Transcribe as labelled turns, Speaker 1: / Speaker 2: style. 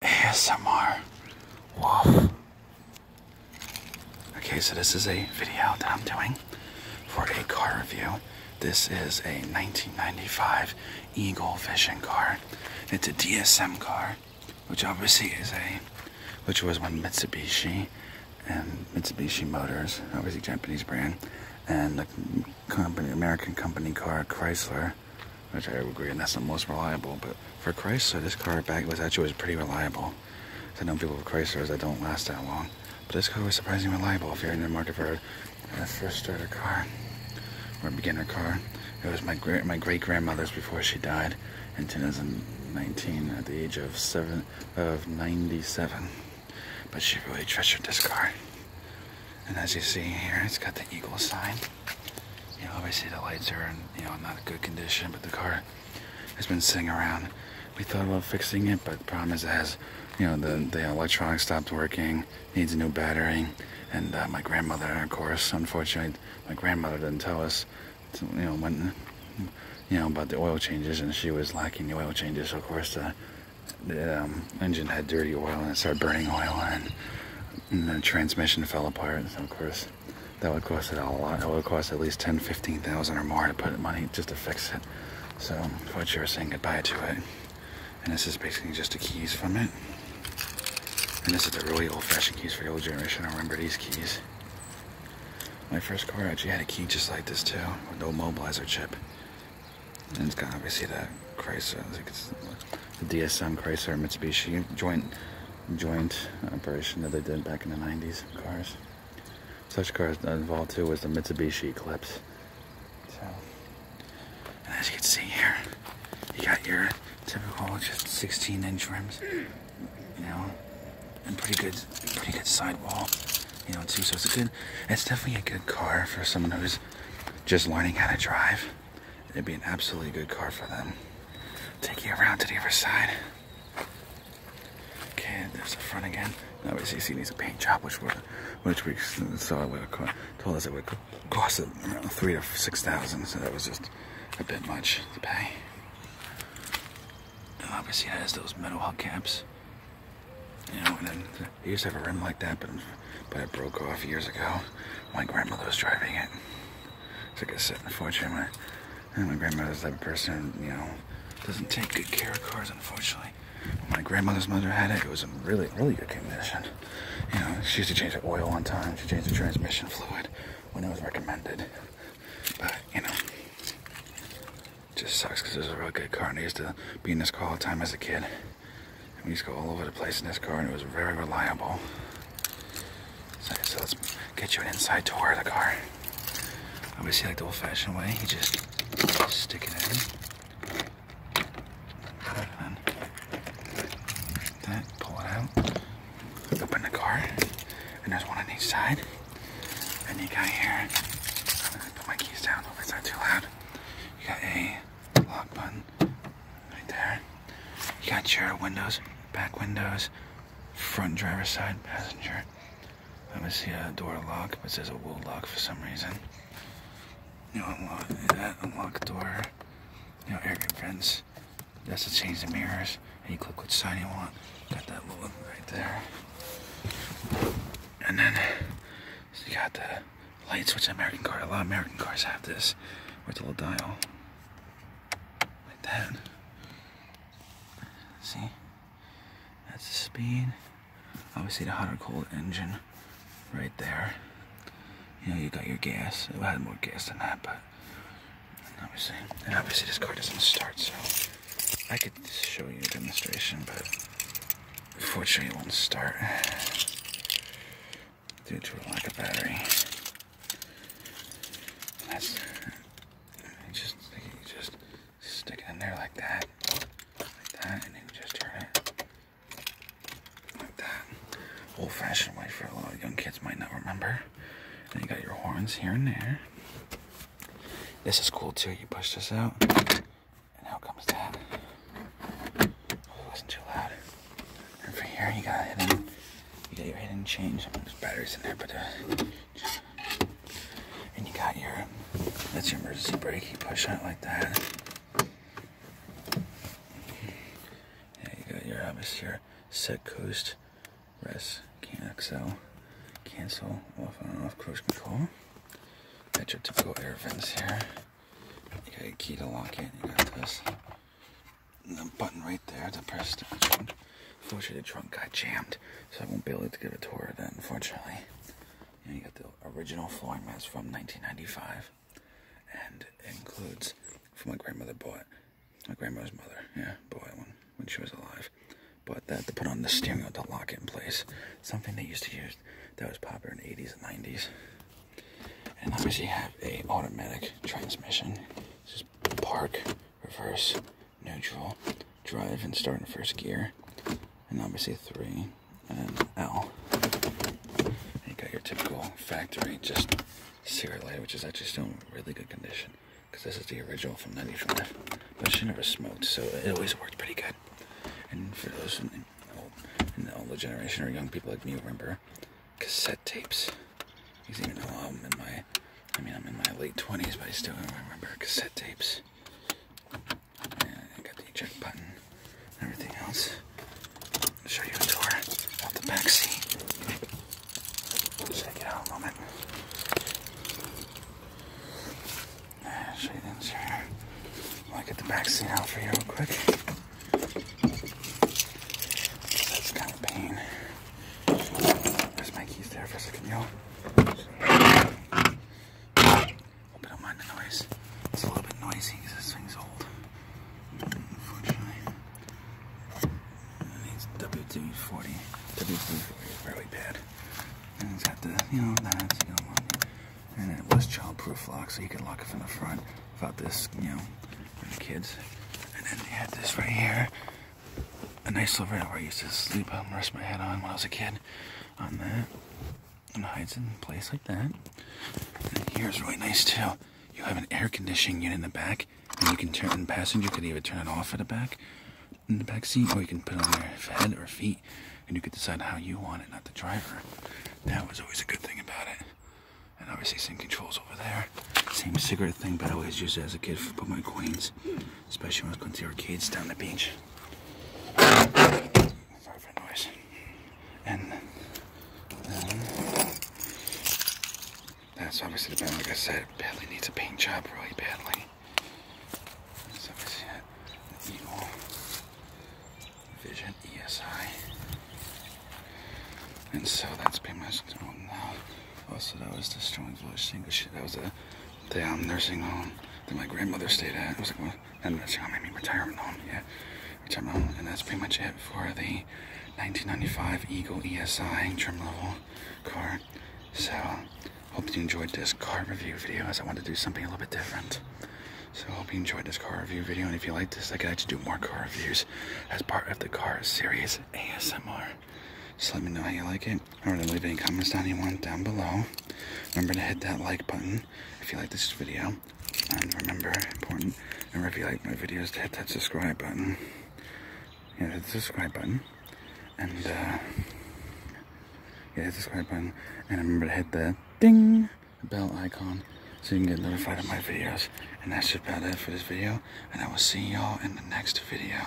Speaker 1: ASMR. Woof. Okay, so this is a video that I'm doing for a car review. This is a 1995 Eagle Vision car. It's a DSM car, which obviously is a, which was when Mitsubishi and Mitsubishi Motors, obviously Japanese brand, and the company, American company car Chrysler which I agree, and that's the most reliable. But for Chrysler, this car back was actually was pretty reliable. I know people with Chryslers that don't last that long, but this car was surprisingly reliable. If you're in the market for a first starter car or a beginner car, it was my great my great grandmother's before she died in 2019 at the age of seven of 97. But she really treasured this car. And as you see here, it's got the eagle sign. You know, obviously the lights are in, you know, not in good condition, but the car has been sitting around. We thought about fixing it, but the problem is it has, you know, the, the electronics stopped working, needs a new battery, and uh, my grandmother, of course, unfortunately, my grandmother didn't tell us, you know, when, you know, about the oil changes, and she was lacking the oil changes, so of course the um, engine had dirty oil and it started burning oil and, and the transmission fell apart. So of course, that would cost it a lot. It would cost at least ten, fifteen thousand or more to put money just to fix it. So you was saying goodbye to it. And this is basically just a keys from it. And this is the really old-fashioned keys for the old generation. I remember these keys. My first car actually had a key just like this too, with no mobilizer chip. And it's got obviously the Chrysler, the DSM Chrysler Mitsubishi joint joint operation that they did back in the 90s cars. Such cars involved too was the Mitsubishi Eclipse. So, as you can see here, you got your typical 16 inch rims, you know, and pretty good, pretty good sidewall you know, too. So it's a good, it's definitely a good car for someone who's just learning how to drive. It'd be an absolutely good car for them. Take you around to the other side. Okay, there's the front again. Obviously, he needs a paint job, which we which we saw would told us it would cost around three to six thousand. So that was just a bit much to pay. obviously, it has those metal hubcaps. You know, and then I used to have a rim like that, but but it broke off years ago. My grandmother was driving it. It's like a set sitting fortune. My, and my grandmother's the type of person, you know, doesn't take good care of cars, unfortunately. my grandmother's mother had it, it was in really, really good condition. You know, she used to change the oil on time. She changed the transmission fluid when it was recommended. But, you know, just sucks because it was a real good car and I used to be in this car all the time as a kid. And we used to go all over the place in this car and it was very reliable. So, let's get you an inside tour of the car. Obviously like the old fashioned way, you just stick it in. And that, pull it out, open the car, and there's one on each side. Then you got here, put my keys down, hope it's too loud. You got a lock button right there. You got your windows, back windows, front driver side, passenger. I'm see a door lock, but it says a wool lock for some reason. You unlock that, unlock the door, you know, air friends. That's to change the mirrors and you click which side you want. Got that little right there. And then you got the light switch American car. A lot of American cars have this. with a little dial? Like that. See? That's the speed. Obviously the hot or cold engine right there. You know, you got your gas. It had more gas than that, but and obviously, and obviously this car doesn't start, so I could show you a demonstration, but unfortunately it won't start due to a lack of battery. just just stick it in there like that, like that, and then just turn it like that. Old-fashioned way for a lot of young kids might not remember here. And you got your horns here and there. This is cool too. You push this out. And out comes that. Oh, it wasn't too loud. And for here you got a hidden you got your head hidden change. There's batteries in there, but uh, and you got your that's your emergency brake, you push on it like that. Yeah, you got your obviously Set coast, rest, cancel, cancel, off and off cruise control. Got your typical air vents here. You got a key to lock in. You got this the button right there to press the Unfortunately, the trunk guy jammed, so I won't be able to give a tour of that, unfortunately. you got the original flooring mats from 1995 and includes for my grandmother bought my grandmother's mother, yeah, bought one when she was alive. But that to put on the steering wheel to lock it in place, something they used to use that was popular in the 80s and 90s. And obviously have a automatic transmission. This is park, reverse, neutral, drive and start in first gear. And obviously three and L. you got your typical factory just serially, which is actually still in really good condition because this is the original from 95, but she never smoked, so it always worked pretty good. And for those in the, old, older generation or young people like me, remember cassette tapes. Because even though I'm in my, I mean, I'm in my late 20s, but I still remember cassette tapes. I got the eject button and everything else. I'll show you a tour of the back seat. Check it out a moment. show you the interior. I'll get the back seat out for you real quick. That's kind of pain. There's my keys there for a second, y'all. Hope you mind the noise. It's a little bit noisy because this thing's old. Unfortunately. It's w 240 W340 really bad. And it's got the, you know, knives you do And it was childproof lock, so you could lock it from the front without this, you know, for the kids. And then they had this right here. A nice little rail where I used to sleep and rest my head on when I was a kid on that and hides in place like that. And here's really nice too. You have an air conditioning unit in the back, and you can turn. And passenger could even turn it off at the back, in the back seat, or you can put it on your head or feet, and you could decide how you want it, not the driver. That was always a good thing about it. And obviously, same controls over there. Same cigarette thing, but I always used it as a kid for my coins, especially when I was going to our kids down the beach. And um, that's obviously the band, like I said, badly needs a paint job really badly. Vision ESI. And so that's pretty much the now. Oh, also, that was the Strong Village shit. That was a the um, nursing home that my grandmother stayed at. I was like, well, and nursing home, I mean retirement home, yeah. Retirement home, and that's pretty much it for the 1995 Eagle ESI trim level car. So, hope you enjoyed this car review video as I wanted to do something a little bit different. So hope you enjoyed this car review video, and if you like this, I could actually do more car reviews as part of the car series ASMR. Just let me know how you like it. Remember to leave any comments down you want down below. Remember to hit that like button if you like this video. And remember, important, remember if you like my videos to hit that subscribe button. Yeah, hit the subscribe button. And, uh, yeah, the subscribe button. And remember to hit the ding bell icon so you can get notified of my videos. And that's about it for this video. And I will see y'all in the next video.